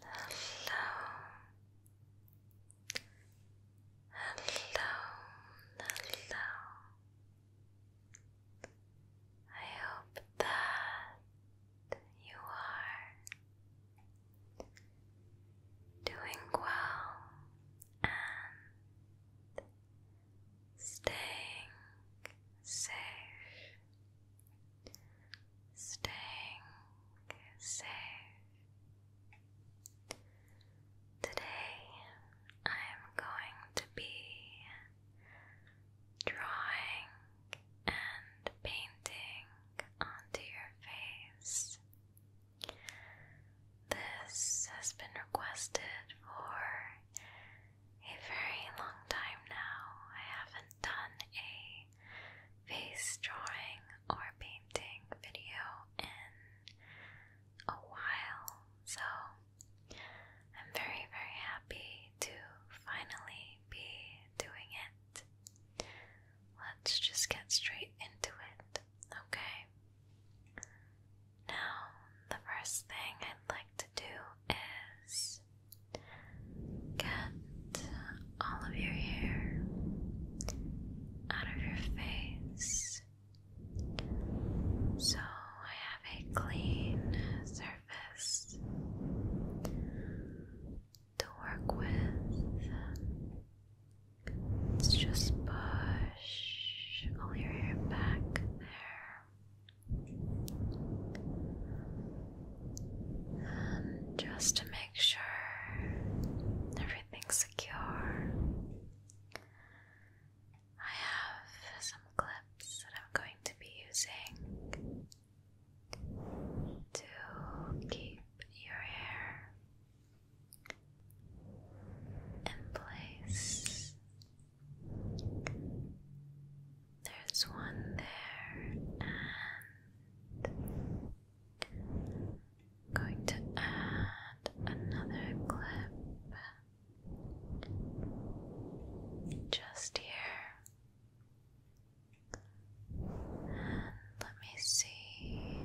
hello, hello. I hope that you are doing well and staying safe staying safe. Today I am going to be drawing and painting onto your face. This has been requested for a very long time now. I haven't done a face drawing or painting video in a while, so I'm very, very happy to finally be doing it. Let's just get straight into it, okay? Now, the first thing I'd like to do is Get all of your hair out of your face so I have a clean surface to work with. Let's just push all your hair back there. Um, just to make sure everything's secure, I have some clips that I'm going to be using to keep your hair in place. There's one there, and going to add another clip just here. let me see.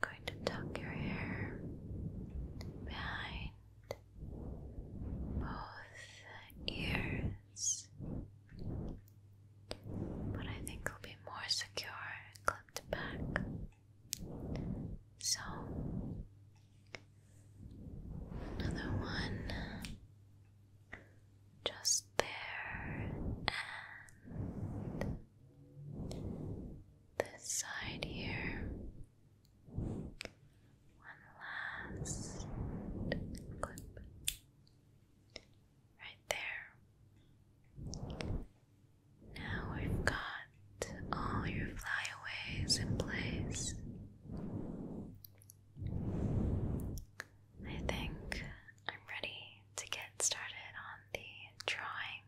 going to tuck your hair behind both ears, but I think will be more secure clipped back. So, another one just there, and this side here. One last clip. Right there. Now we've got all your flyaways in place. I think I'm ready to get started on the drawing.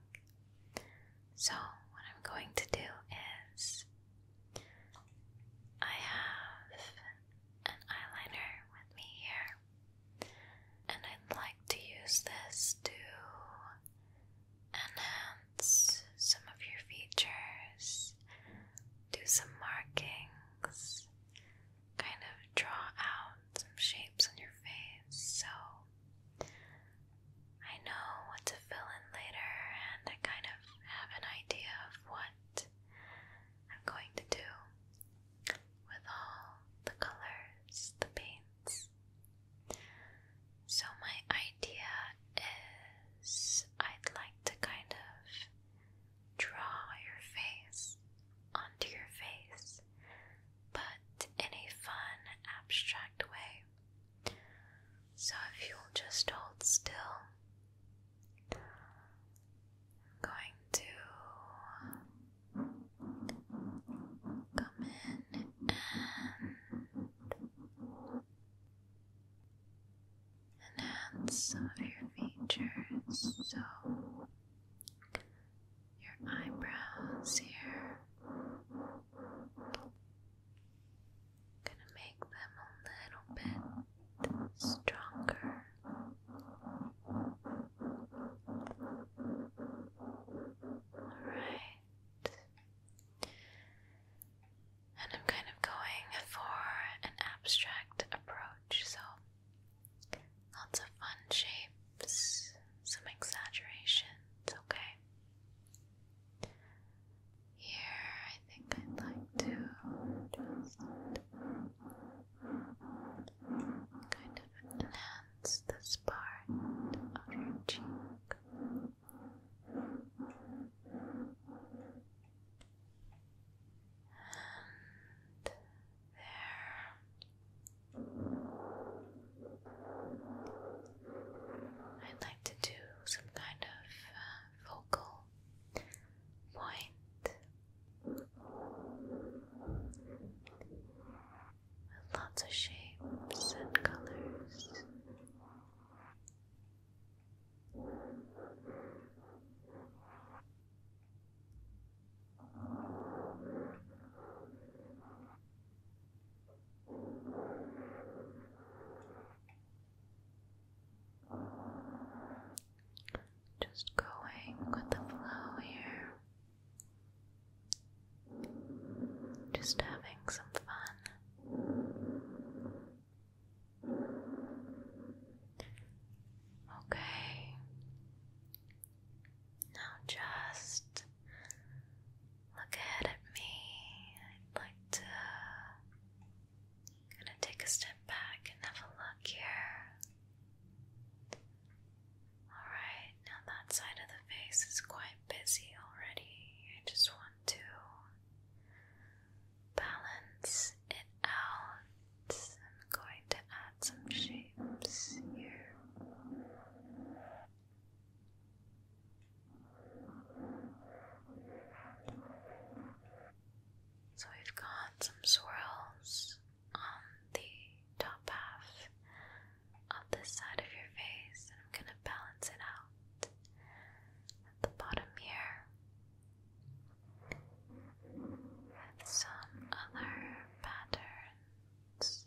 So, what I'm going to do is I have an eyeliner with me here, and I'd like to use this to enhance some of your features, do some markings, kind of draw out some shapes on your face. So I know what to fill in later, and I kind of have an idea of what I'm going to do with all the colors, the paints. So, my idea is I'd like to kind of draw your face onto your face, but in a fun, abstract way. So if you'll just hold still, I'm going to come in and enhance some of your features. So your eyebrows here. Gonna make them a little bit stronger. Alright. And I'm kind of going for an abstract approach, so lots of fun shapes, some exaggerations, okay? Here, I think I'd like to kind of enhance this part of your cheek. And there. I'd like to do some kind of um, focal point lots of shapes and colors. Just going with the flow here. Just having some fun. Okay. Now just look ahead at me. I'd like to Gonna take a step back and have a look here. Alright, now that side of the face is quite busy already. I just want to balance it out. I'm going to add some shapes here. So we've got some swirls on the top half of this side of your face, and I'm going to balance it out at the bottom here with some other patterns.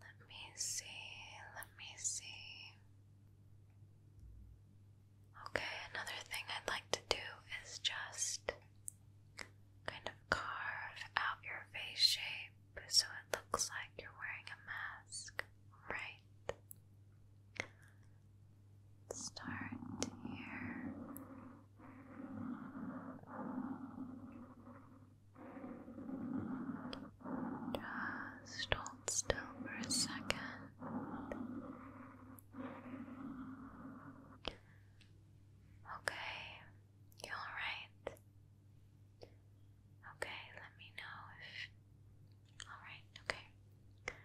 Let me see, let me see. Okay, another thing I'd like to do is just kind of carve out your face shape so it looks like you're wearing a mask, right? Start here. Just hold still for a second. Okay, you alright? Okay, let me know if. Alright, okay.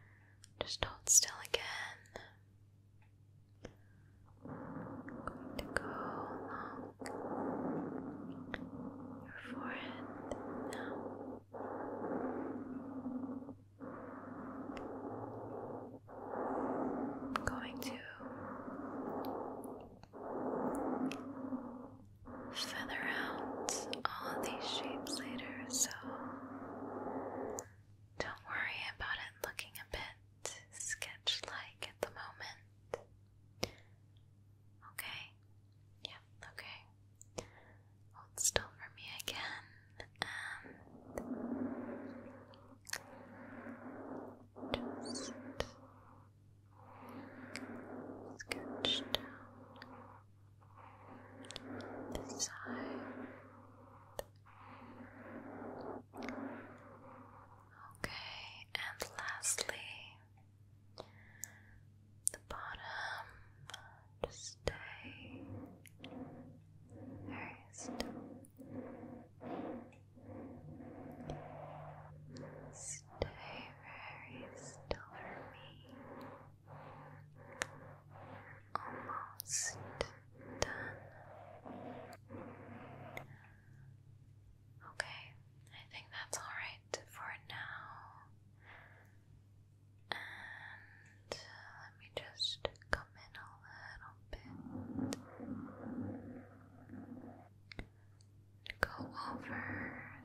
Just hold still again going to go along your forehead now. I'm going to feather out all of these shapes later, so don't worry about it looking a bit sketch like at the moment. Okay. Yep, okay. Hold still for me again. And just sketch down the side. Okay, and lastly, the bottom. stay very still. Stay very still for me. Almost done. Okay, I think that's alright for now. And uh, let me just come in a little bit. Go over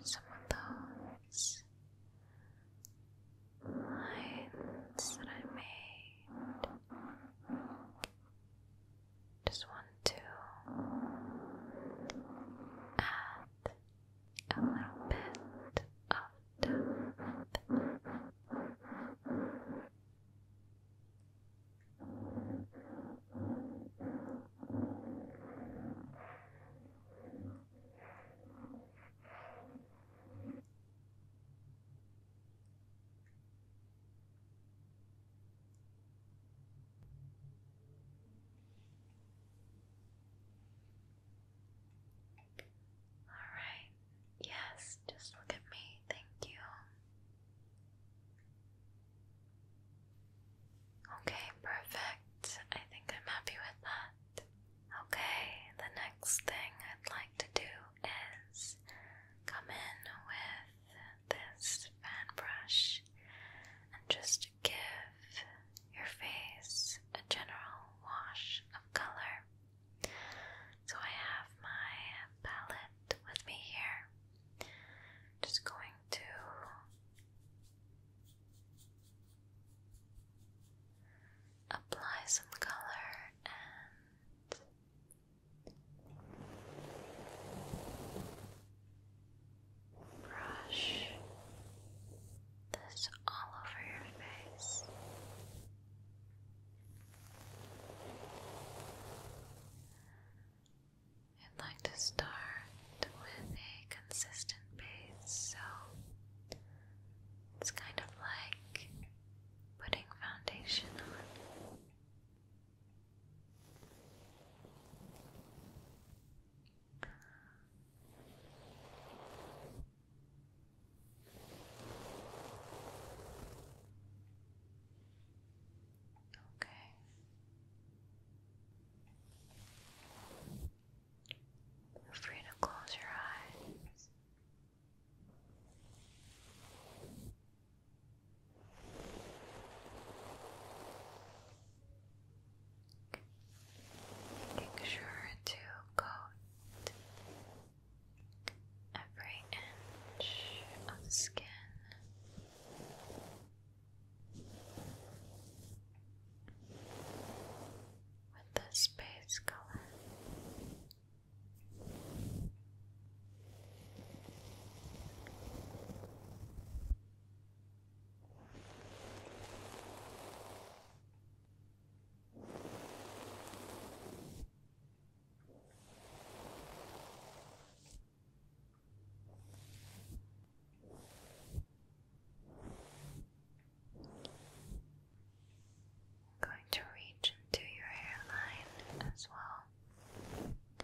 some of those lines that I made just want to add a little bit of depth. All right. Yes, just look at me. Thank you. Okay, perfect. I think I'm happy with that. Okay, the next thing I'd like to do is come in with this fan brush and just give your face a general wash of color. So I have my palette with me here. Just going to apply some color and Brush this all over your face. I'd like to start with a consistent base, so it's kind of like putting foundation on. Okay. Feel free to close your eyes. Making sure to coat every inch of skin. With the space color, I'm going to reach into your hairline as well.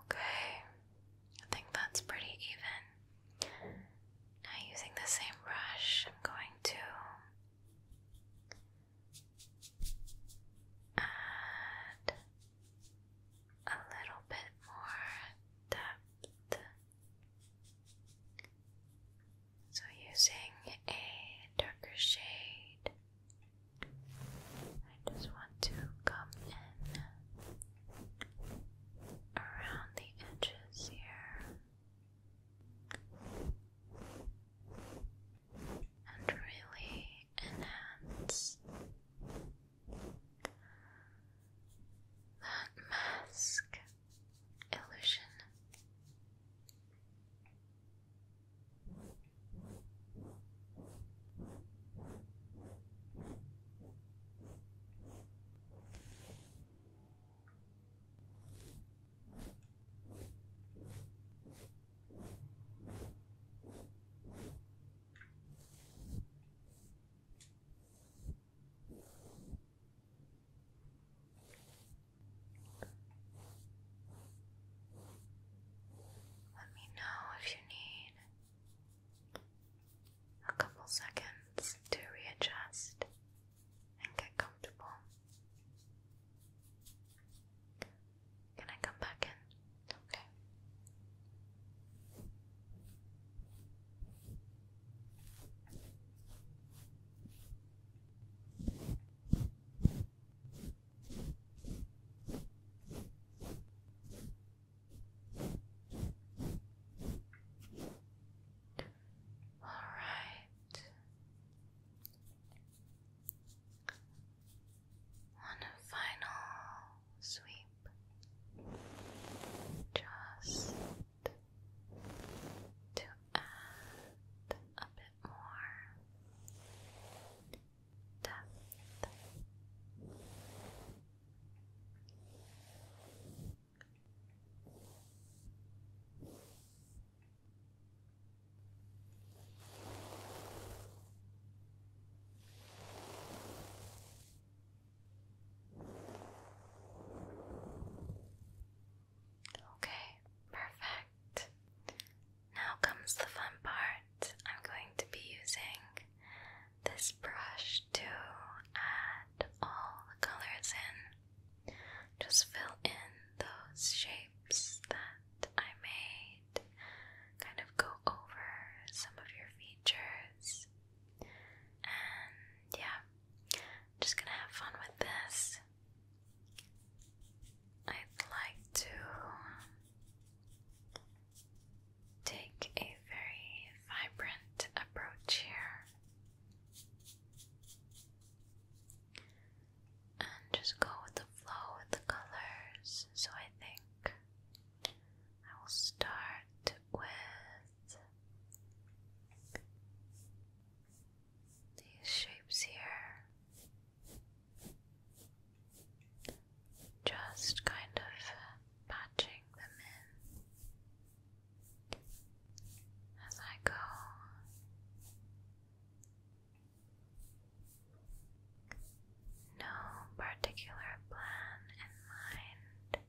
Okay, I think that's pretty even. Now, using the same brush, I'm going to add a little bit more depth. So, using a darker shade, I just want to come in around the edges here and really enhance that mask illusion. Let me know if you need a couple seconds to readjust and get comfortable. Can I come back in? Okay. All right. One final sweep. Just to add a bit bit more depth. Okay, perfect. Now comes the fun part. I'm going to be using this brush to add all the colors in. Just fill in those shapes that I made, kind of go over some of your features. And yeah, I'm just gonna have fun with this. I'd like to take a very vibrant approach here and just go with the flow with the colors. So I think I will start with these shapes here, just kind of patching them in as I go. No particular plan in mind.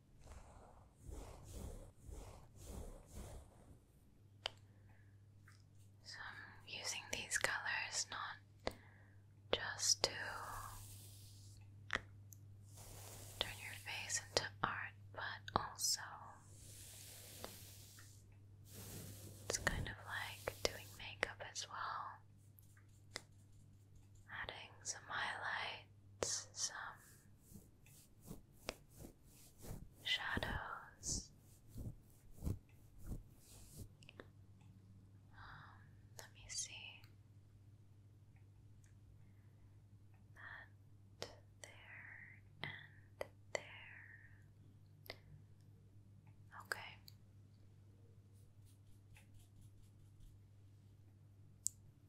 So I'm using these colors not just to turn your face into art, but also it's kind of like doing makeup as well adding some highlights, some shadows. Um, let me see that there and there. Okay.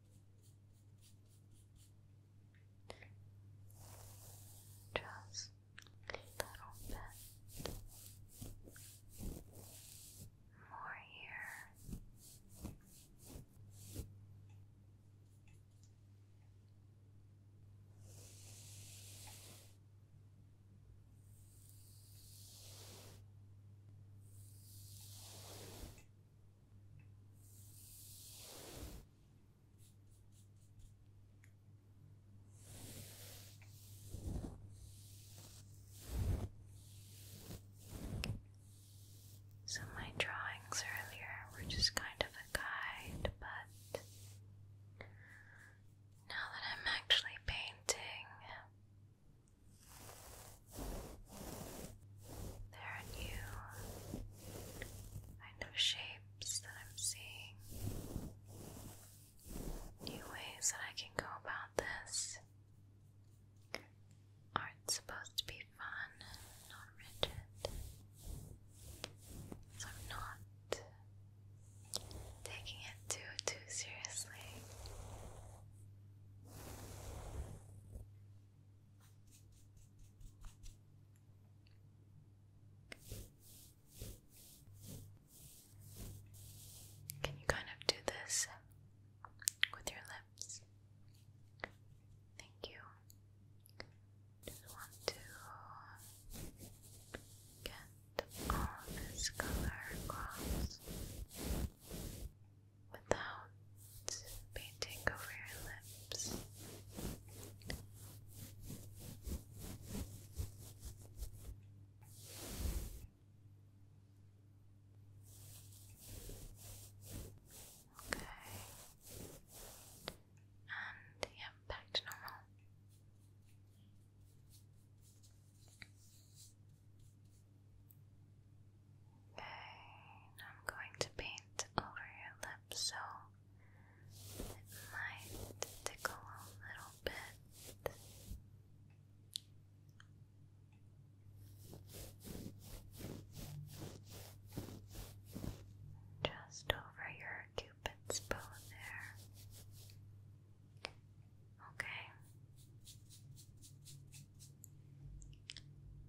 Just a little bit more here. So, my drawings earlier were just kind of a guide, but now that I'm actually painting, there are new kind of shapes that I'm seeing, new ways that I can go about this. Art's supposed to be fun, not rigid. So I'm not taking it too, too seriously. Can you kind of do this with your lips? Thank you. Just want to get all this color across without painting over your lips. Okay. And yeah, back to normal. I'm going to paint over your lips so it might tickle a little bit. Just over your cupid's bow there. Okay.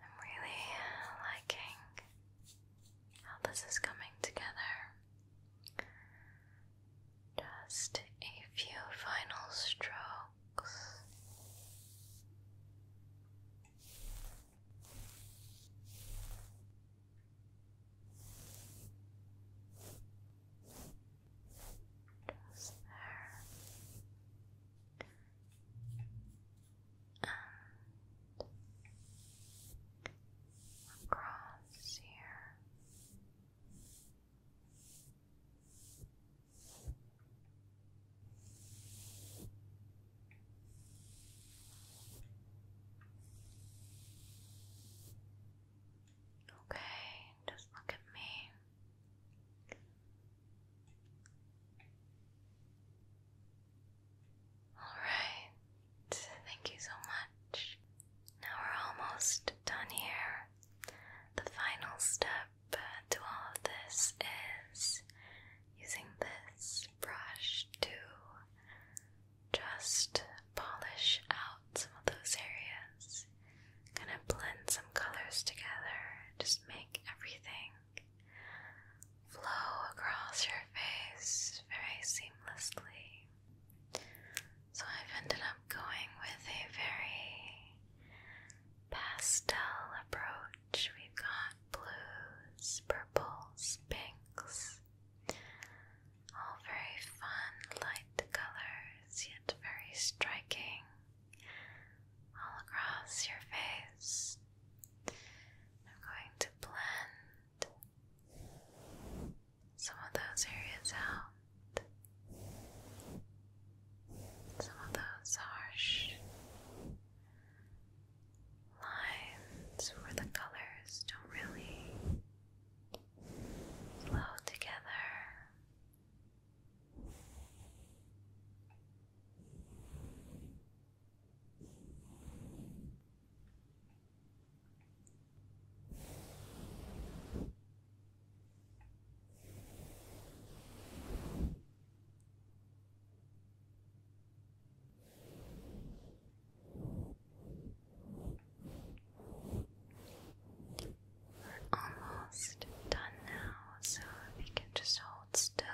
I'm really liking how this is coming together. Just a few final strokes. Just there. And across here. Okay, just look at me. Alright, thank you so much. Now we're almost done here. The final step to all of this is using this brush to just polish out some of those areas. Kind of blend some colors together, just make everything flow across your face very seamlessly. So I've ended up going with a very pastel approach. We've got blues, purples, pinks. All very fun, light colors, yet very striking all across your face. I'm going to blend some of those areas out. Some of those harsh lines where the colors don't really flow together. We're almost done now, so if you can just hold still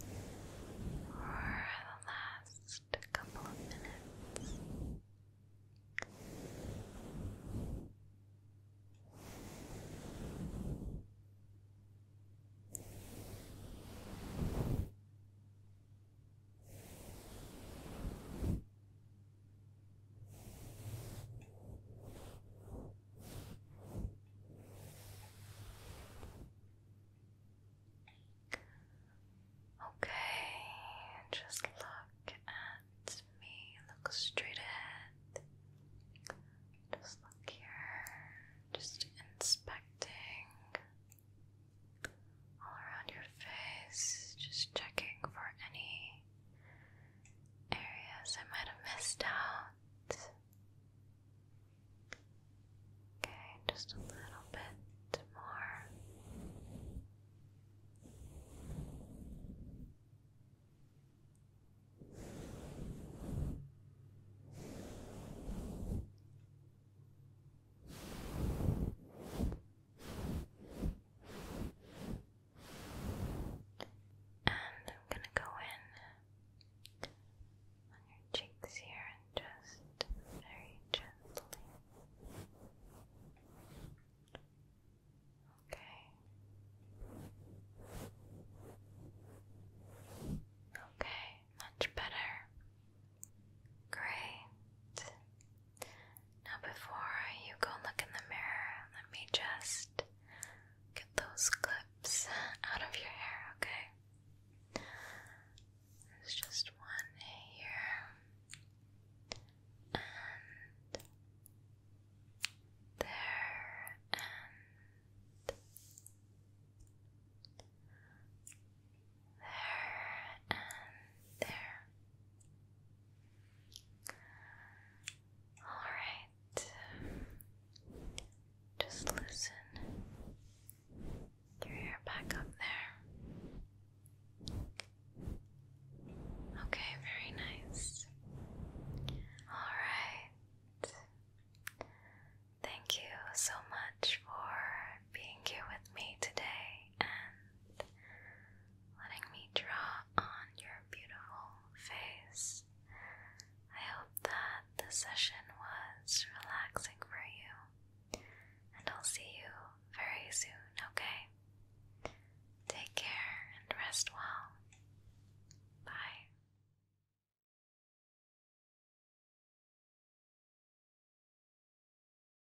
for the last couple of minutes. Okay, just look at me. Look straight ahead. Just look here. Just inspecting all around your face, just checking for any areas I might have missed out. Okay, just a little bit more. And I'm gonna go in on your cheeks here and just very gently. Okay. Okay, much better. Great. Now, before you go look in the mirror, let me just get those clips out of your hair, okay? There's just one here, and there, and there, and there. Alright, just listen through your back up there. Okay, very nice. Alright. Thank you so much for being here with me today and letting me draw on your beautiful face. I hope that the session was relaxing for you, and I'll see you very soon, okay? Take care and rest well. Bye.